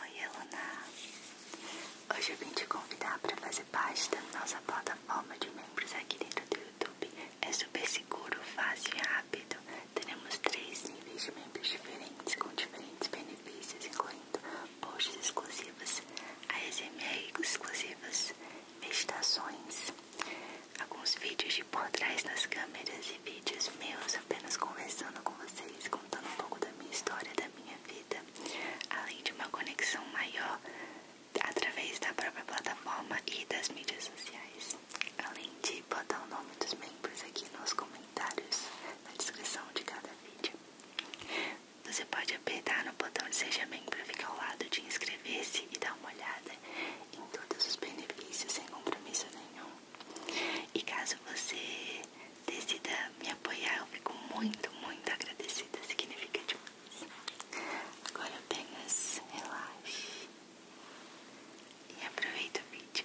Oi, Eluna! Hoje eu vim te convidar para fazer parte da nossa plataforma de membros aqui dentro do YouTube. É super seguro, fácil e rápido. Teremos três níveis de membros diferentes, com diferentes benefícios, incluindo posts exclusivos, ASMR exclusivas, meditações, alguns vídeos de por trás das câmeras e vídeos meus apenas conversando com vocês contando um pouco da minha história, da minha vida, além de uma conexão maior através da própria plataforma e das mídias sociais. Além de botar o nome dos membros aqui nos comentários, na descrição de cada vídeo. Você pode apertar no botão de Seja Membro, fica ao lado de inscrever-se e dar uma olhada em todos os benefícios sem compromisso nenhum. E caso você decida me apoiar, eu fico muito, muito agradecida. Significa demais. Agora apenas relaxe e aproveita o vídeo.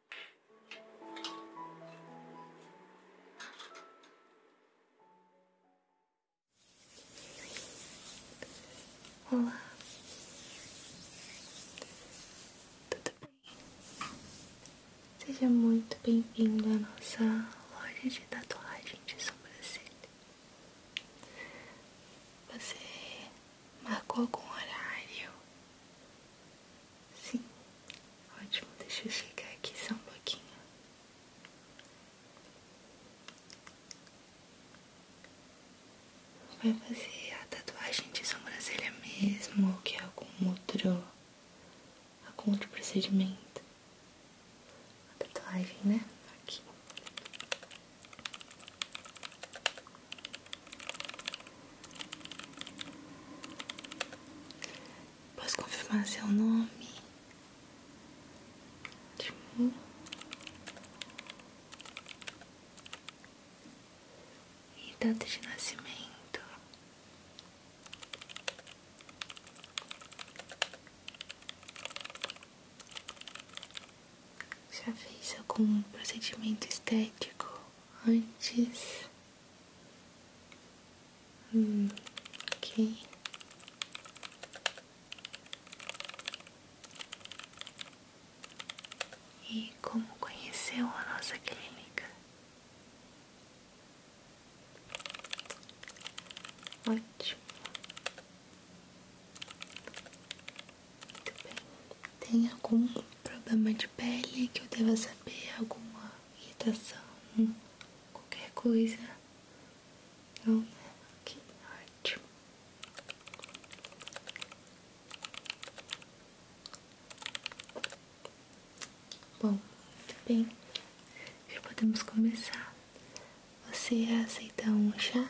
Olá, tudo bem? Seja muito bem-vindo à nossa loja de tatuagem de sobrancelha. Você Marcou algum horário? Sim, ótimo. Deixa eu chegar aqui só um pouquinho. Vai fazer a tatuagem de sobrancelha mesmo ou quer algum outro, algum outro procedimento? A tatuagem, né? Aqui. Posso confirmar seu nome? Timur. Hum? E data de nascimento? Já fez algum procedimento estético antes? Hum, ok. E como conheceu a nossa clínica? Ótimo. Tem algum problema de pele que eu deva saber? Alguma irritação? Hum, qualquer coisa? Não, né? Ok, ótimo. Bom, muito bem. Já podemos começar. Você aceita um chá?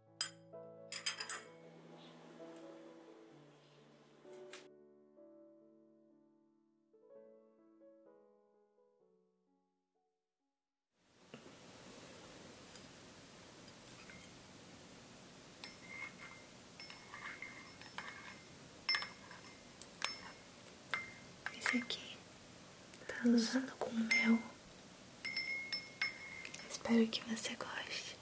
Esse aqui tá usando com mel Espero que você goste.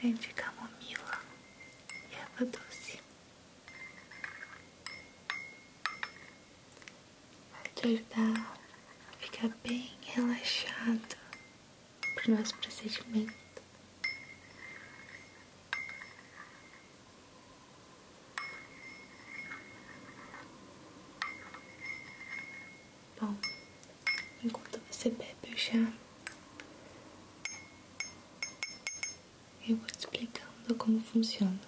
Vem de camomila e erva doce. Vai te ajudar a ficar bem relaxado para o nosso procedimento. Bom, enquanto você bebe o eu vou explicando como funciona.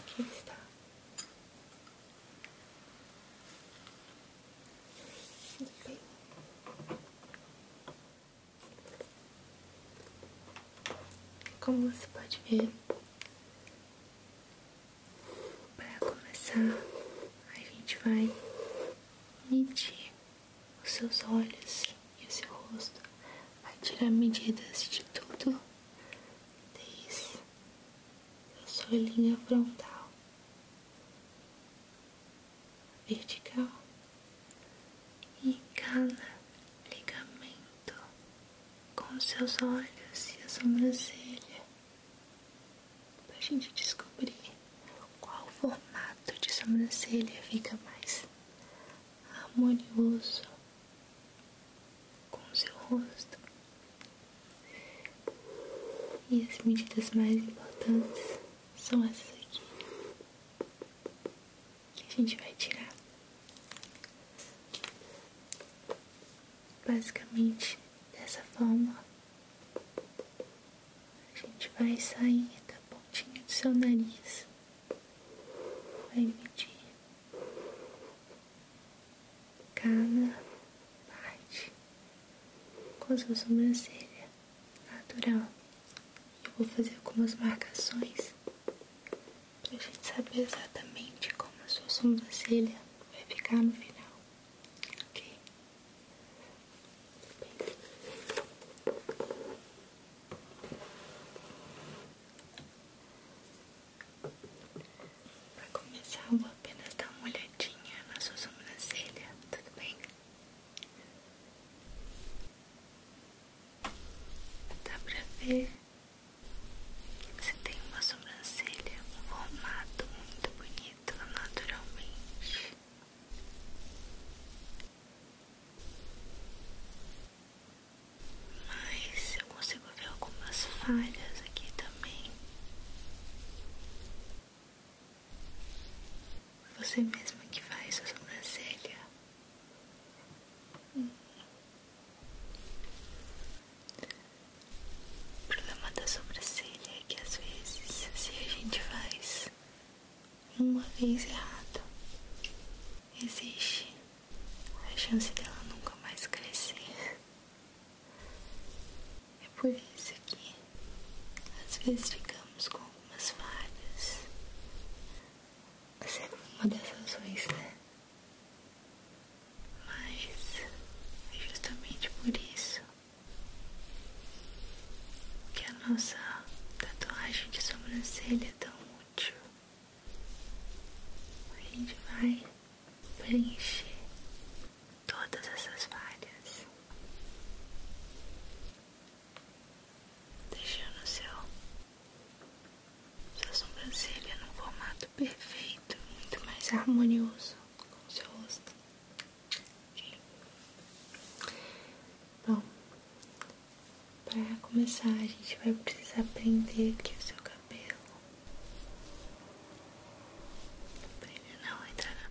Aqui está. Bem. Como você pode ver, para começar, a gente vai medir os seus olhos e o seu rosto, vai tirar medidas de tudo, desde a sua linha frontal vertical e cala ligamento com seus olhos e a sobrancelha para a gente descobrir qual formato de sobrancelha fica mais harmonioso com seu rosto e as medidas mais importantes são essas aqui que a gente vai tirar. Basicamente dessa forma, a gente vai sair da pontinha do seu nariz, vai medir cada parte com a sua sobrancelha natural. Eu vou fazer algumas marcações pra gente saber exatamente como a sua sobrancelha vai ficar no final, ok? Pra começar, eu vou apenas dar uma olhadinha na sua sobrancelha, tudo bem? Dá pra ver você tem uma sobrancelha, um formato muito bonito naturalmente. Mas eu consigo ver algumas falhas aqui também. Você mesma que faz a sobrancelha o problema da sobrancelha é que às vezes, se a gente faz uma vez errado, existe a chance dela nunca mais crescer. É por isso que às vezes ficamos com umas falhas. Você é uma dessas ruins, né? Mas é justamente por isso que a nossa tatuagem de sobrancelha é tão útil. A gente vai preencher todas essas falhas deixando seu, sua sobrancelha no formato perfeito, muito mais harmonioso com o seu rosto. Bom, para começar, a gente vai precisar prender aqui o seu cabelo. Prender não, ainda não.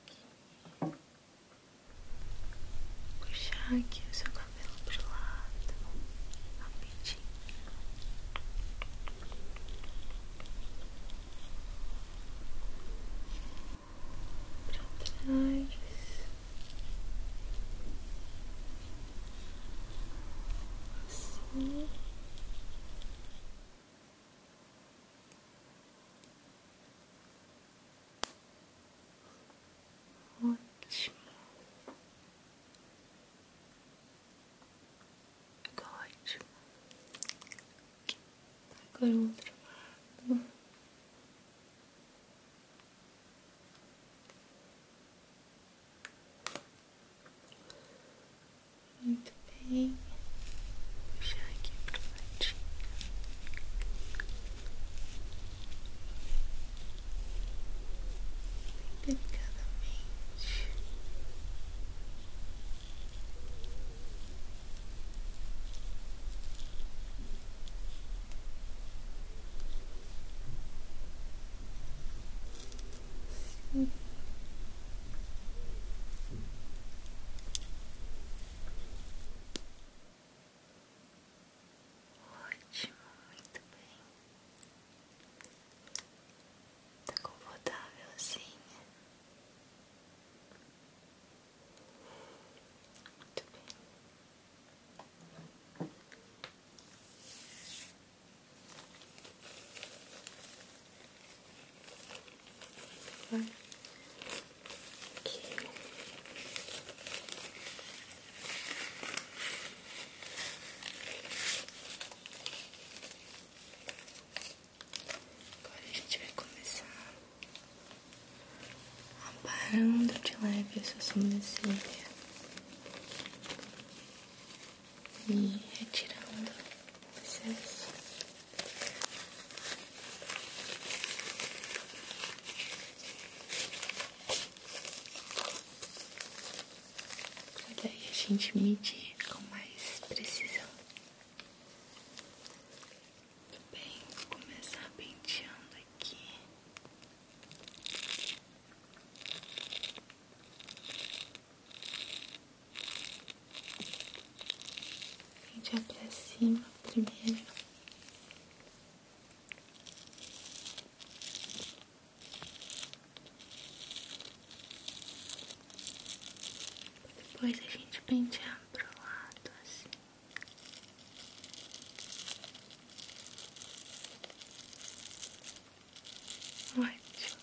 aqui. Puxar aqui o seu cabelo pro lado. Rapidinho. Pra trás. Assim. Ótimo. Ficou ótimo. Agora o outro lado. Muito muito bem. Puxar aqui pro ladinho. Bem delicadamente. Ótimo, muito bem. Tá confortávelzinha. Assim? Muito bem. Agora a gente vai começar aparando de leve essa sobrancelha e retirando o excesso. Olha aí, a gente medir com mais precisão. Tudo bem, vou começar penteando aqui. A gente vai pra cima primeiro. Depois a gente para o lado assim. Ótimo.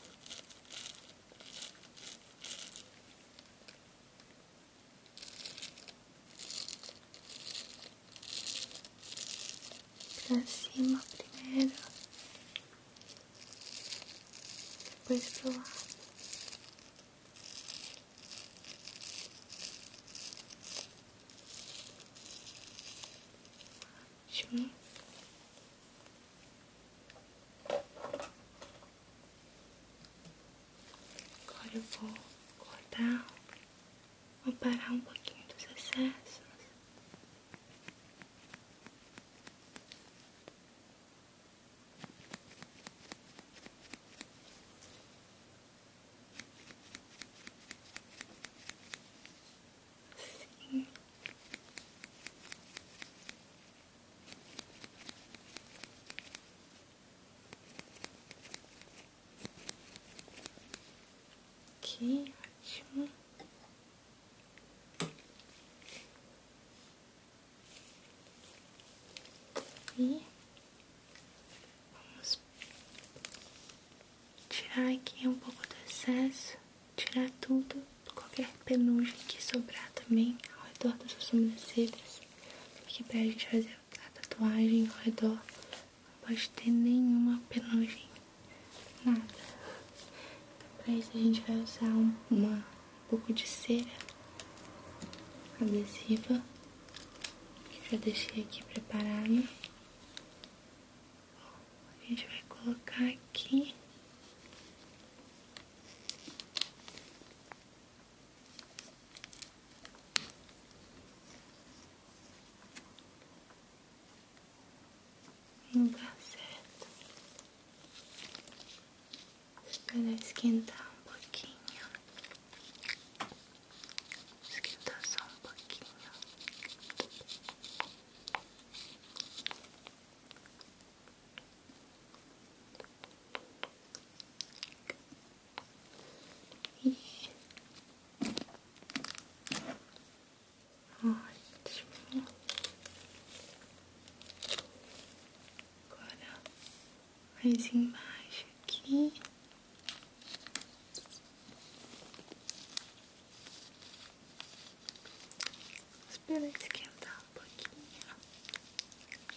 Pra cima primeiro, depois pro lado. Agora eu vou cortar, vou parar um pouquinho dos excessos. Assim. Aqui, ótimo. E vamos tirar aqui um pouco do excesso, tirar tudo, qualquer penugem que sobrar também ao redor das sobrancelhas. Aqui a gente fazer a tatuagem ao redor. Não pode ter nenhuma penugem. Nada. Então, pra isso a gente vai usar uma, um pouco de cera adesiva. Que já deixei aqui preparado. A gente vai colocar aqui. Não dá certo. esquentar um pouquinho. Esquentar só um pouquinho. E... Ótimo. Agora mais embaixo aqui. Espera que esquentar um pouquinho.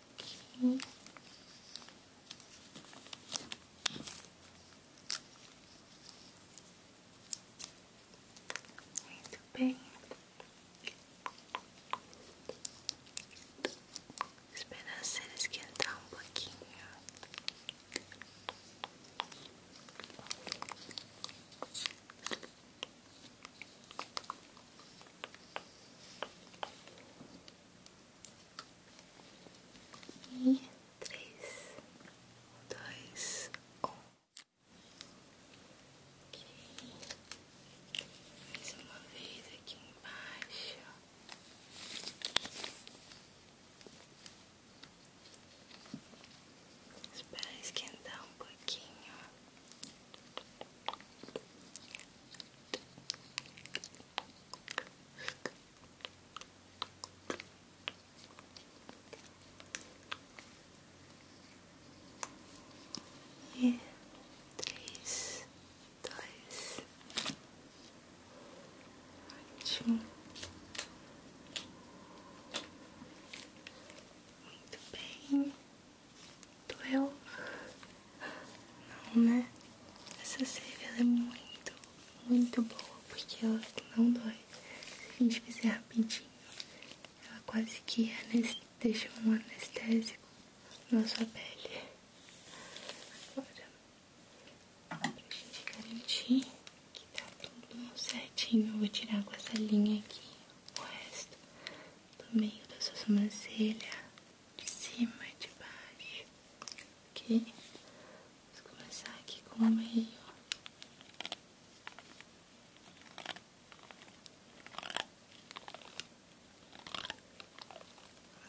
aqui. Muito bem. Esperar ser esquentar um pouquinho. E três, dois, um. Okay. Mais uma vez aqui embaixo. Espera esquentar um pouquinho. E é três, dois, ótimo. Muito bem, doeu. Não, né? Essa cerveja é muito, muito boa, porque ela não dói. Se a gente fizer rapidinho, ela quase que deixa um anestésico na sua pele. Agora, pra gente garantir que tá tudo certinho, eu vou tirar com essa linha aqui o resto do meio da sua sobrancelha de cima e de baixo, ok? Vamos começar aqui com o meio.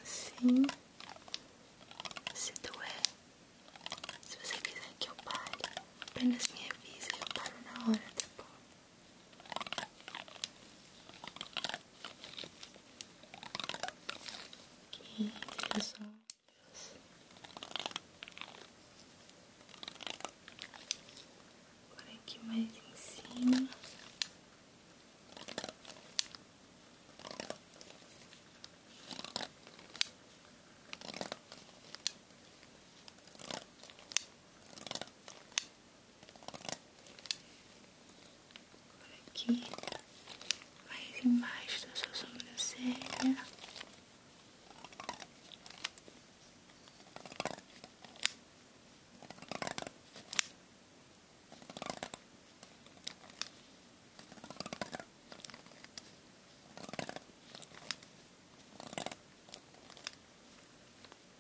Assim, se tu é, se você quiser que eu pare, apenas me avisa e eu paro na hora, tá bom? aqui os por aqui mais em cima aqui, mais embaixo da sua sobrancelha.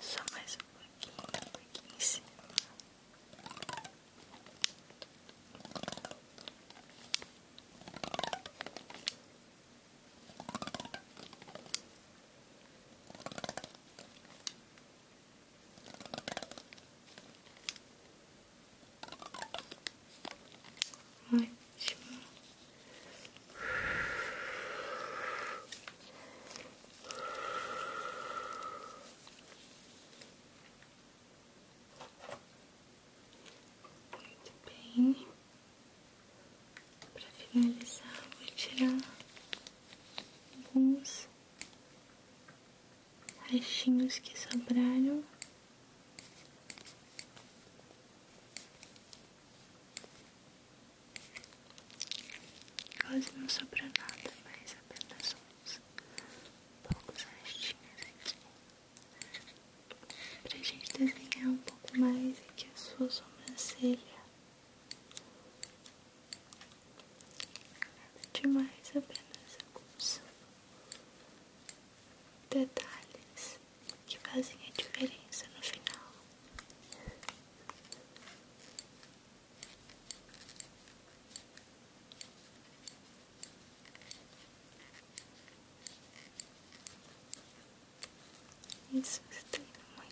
Só mais um pouquinho aqui em cima. Pronto. Ótimo. Muito bem. Para finalizar, vou tirar alguns restinhos que sobraram. Quase não sobrou nada, mais, apenas uns poucos restinhos aqui. Pra gente desenhar um pouco mais aqui a sua sobrancelha demais, apenas alguns detalhes que fazem a diferença no final. Isso tem tá muito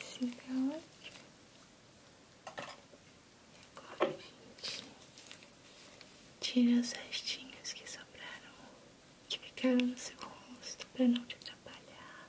Assim tá ótimo. Agora a gente tira os restinhos que sobraram, que ficaram no seu rosto pra não te atrapalhar.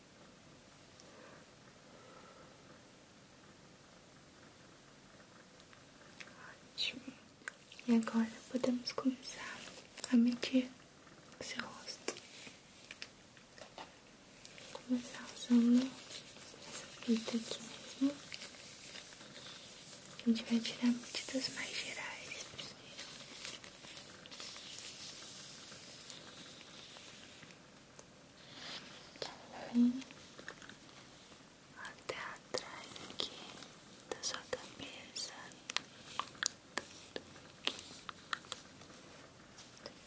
Ótimo. E agora podemos começar a medir o seu rosto. começar usando essa fita aqui mesmo. A gente vai tirar medidas mais gerais primeiro até atrás aqui da sua cabeça.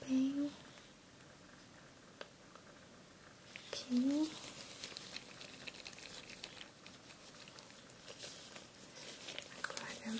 Bem aqui. Agora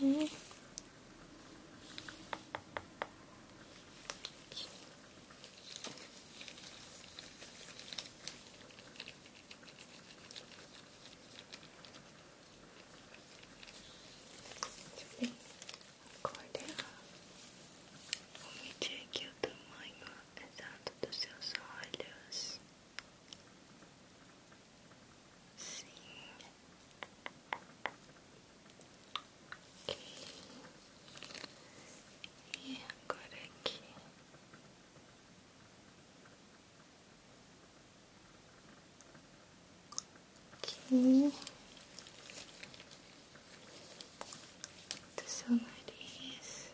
Aqui. Aqui. Sim. Acorda. Vou medir aqui o tamanho exato dos seus olhos. Aqui. C K e agora aqui aqui do seu nariz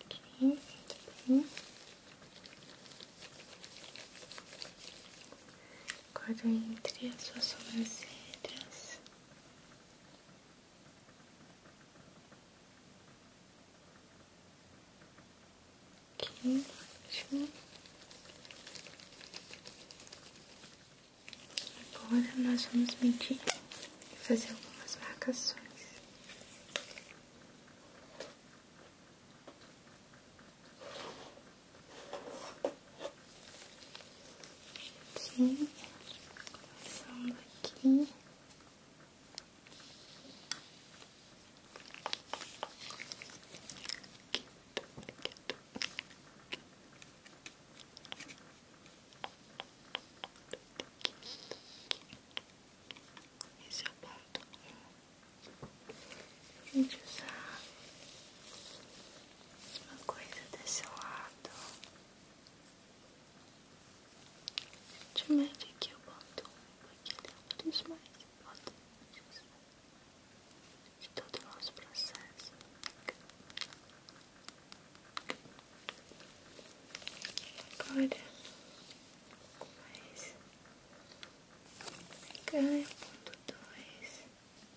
Ok, muito bem. Agora entre as suas sobrancelhas. Ok, ótimo. Agora nós vamos medir e fazer algumas marcações. Aqui, começando aqui esse é o ponto um. Gente, usar uma coisa desse lado. A gente mede aqui o ponto um, porque ele é um dos mais importantes de todo nosso processo. Agora, mais cá ponto dois. Aqui também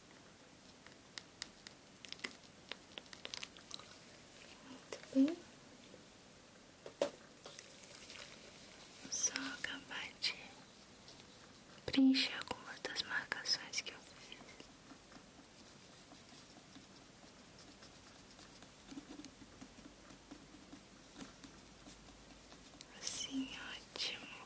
Muito bem. só acabar de preencher algumas das marcações que eu fiz. Assim, ótimo.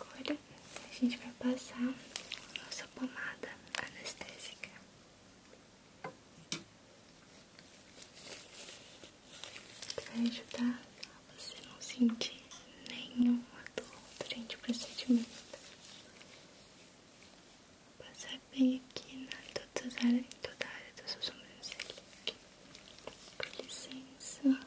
Agora a gente vai passar a nossa pomada anestésica. Vai ajudar você não sentir nenhuma dor durante o procedimento. Vou passar bem aqui na todas as toda a área da sua sobrancelha. Com licença.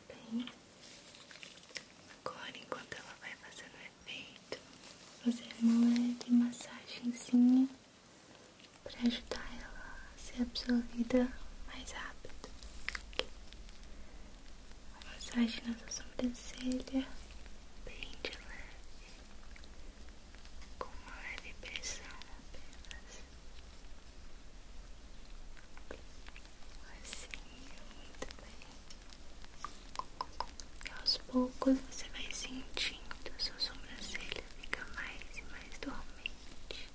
bem. Agora, enquanto ela vai fazendo efeito, fazer uma leve massagenzinha para ajudar ela a ser absorvida mais rápido. A massagem na sua sobrancelha, bem de leve, com uma leve pressão apenas. Assim, muito bem. aos poucos você vai sentindo a sua sobrancelha fica mais e mais dormente.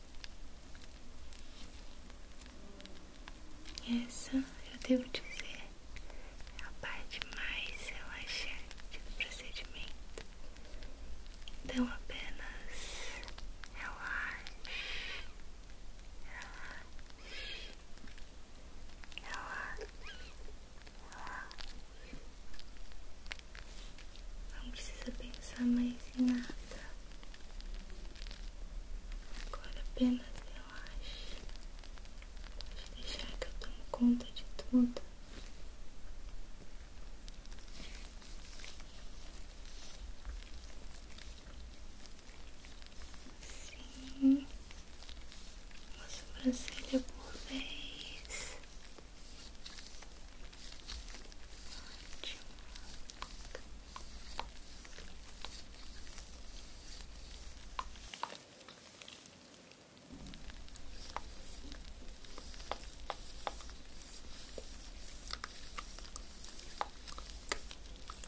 essa, eu devo dizer, é a parte mais relaxante do procedimento. Então apenas relaxe. Relaxe relaxa, relaxa. Não precisa pensar mais em nada. Agora apenas relaxe. Pode deixar que eu tome conta de tudo sim, Uma sobrancelha por vez.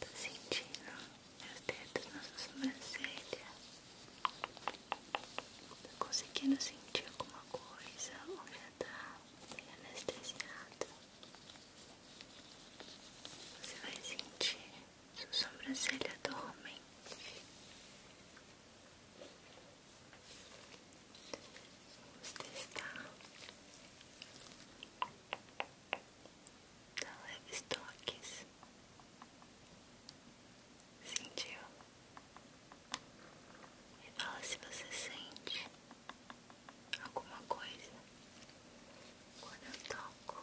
Tá sentindo meus dedos na sobrancelha? Tá conseguindo sentir alguma coisa ou já tá bem anestesiado? Você vai sentir sua sobrancelha dormem. Vamos testar. Dá leves toques. Sentiu? Me fala se você sente alguma coisa quando eu toco.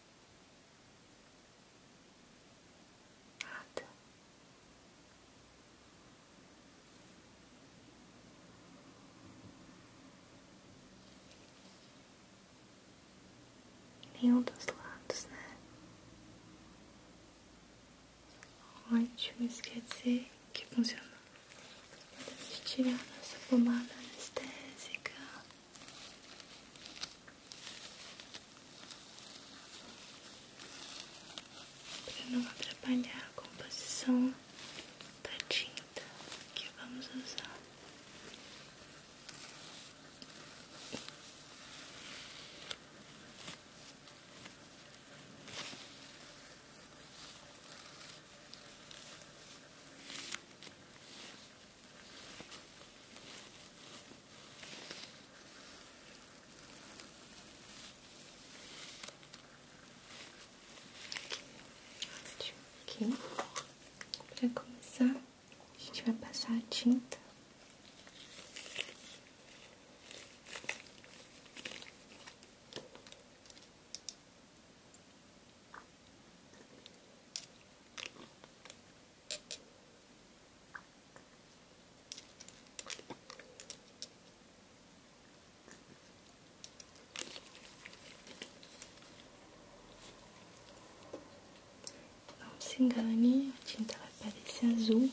Nada. Nenhum dos lados, né? Ótimo, isso quer que funcionou. Vamos tirar nossa pomada anestésica para não atrapalhar a composição da tinta que vamos usar. Aqui, para começar, a gente vai passar a tinta. Não se engane, a tinta vai parecer azul,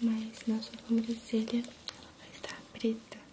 mas na sua sobrancelha ela vai estar preta.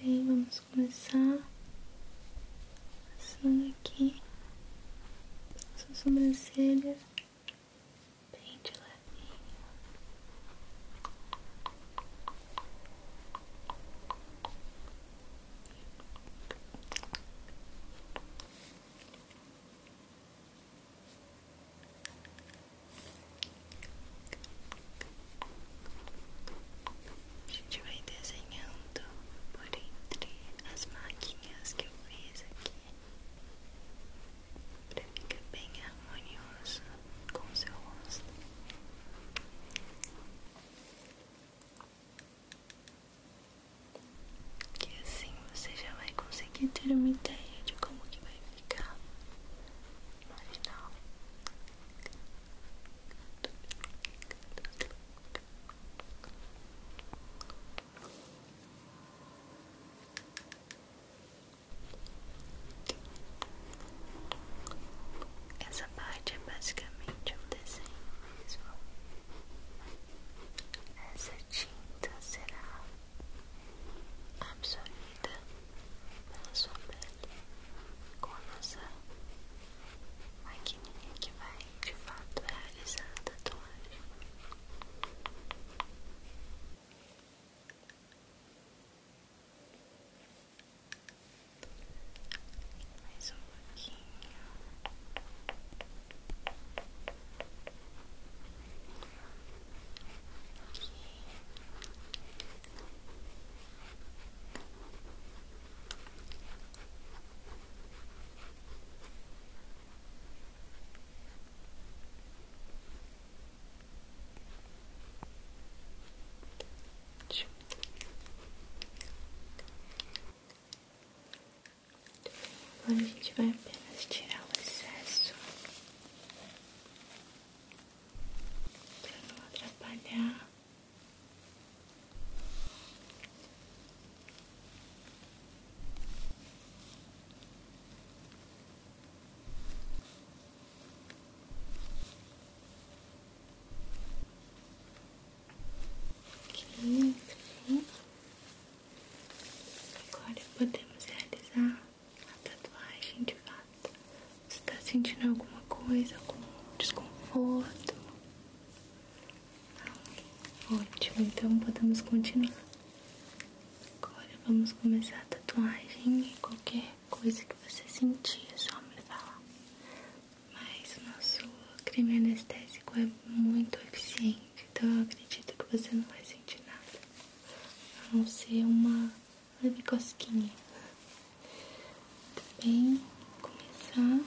Muito bem, vamos começar passando aqui sua sobrancelha bem de levinho. A gente vai desenhando por entre as máquinas que eu fiz aqui para ficar bem harmonioso com seu rosto. Que assim você já vai conseguir ter uma ideia de como que vai ficar no final. Essa parte é basicamente um desenho mesmo. Essa tinta será absorvida pela sua pele com a nossa maquininha que vai de fato realizar a tatuagem. Mais um pouquinho. Aqui. Agora a gente vai apenas tirar o excesso para não atrapalhar. Aqui, aqui. Agora podemos realizar a tatuagem de fato. Você está sentindo alguma coisa, algum desconforto? Não? Ótimo, então podemos continuar. Agora vamos começar a tatuagem em qualquer coisa que você sentia é só me falar. Mas o nosso creme anestésico é muito eficiente, então eu acredito que você não vai sentir nada. A não ser uma leve Tá bem? Vou começar.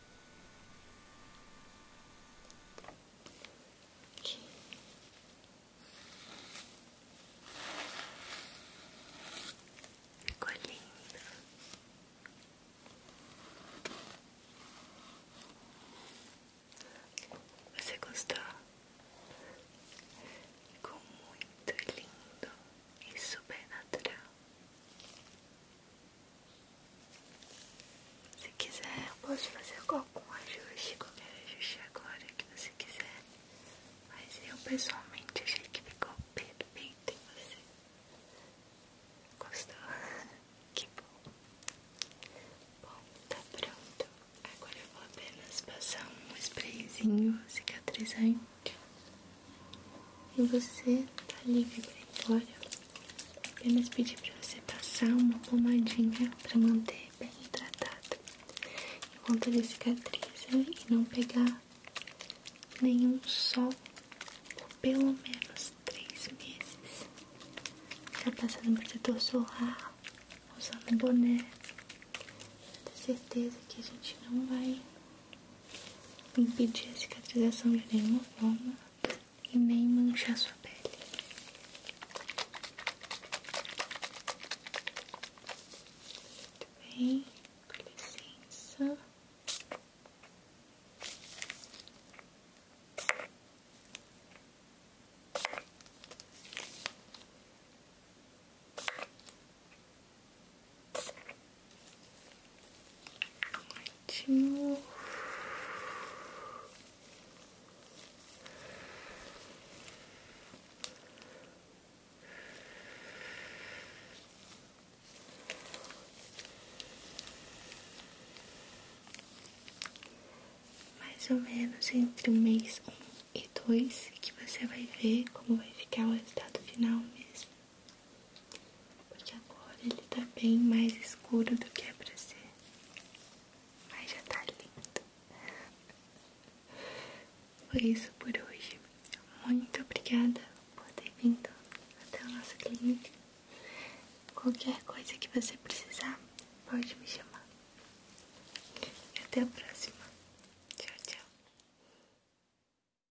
Aqui. Ficou lindo. Você gostou? Ficou muito lindo e super natural. Se quiser, eu posso fazer algum ajuste, qualquer ajuste agora que você quiser. Mas eu pessoalmente achei que ficou perfeito em você. Gostou? Que bom. Bom, tá pronto. Agora eu vou apenas passar um sprayzinho cicatrizante e você tá livre pra ir embora. Apenas pedi pra você passar uma pomadinha pra manter bem hidratado. Enquanto ele cicatriz e não pegar nenhum sol por pelo menos três meses. já tá passando protetor solar, usando boné. Tenho certeza que a gente não vai impedir a cicatrização de nenhuma forma e nem manchar sua pele. Muito bem, com licença. Ótimo. Mais ou menos entre mês um e dois que você vai ver como vai ficar o resultado final mesmo. Porque agora ele tá bem mais escuro do que é pra ser. Mas já tá lindo. Foi isso por hoje. Muito obrigada por ter vindo até o nosso clínica. Qualquer coisa que você precisar, pode me chamar. E até a próxima. Tchau, tchau.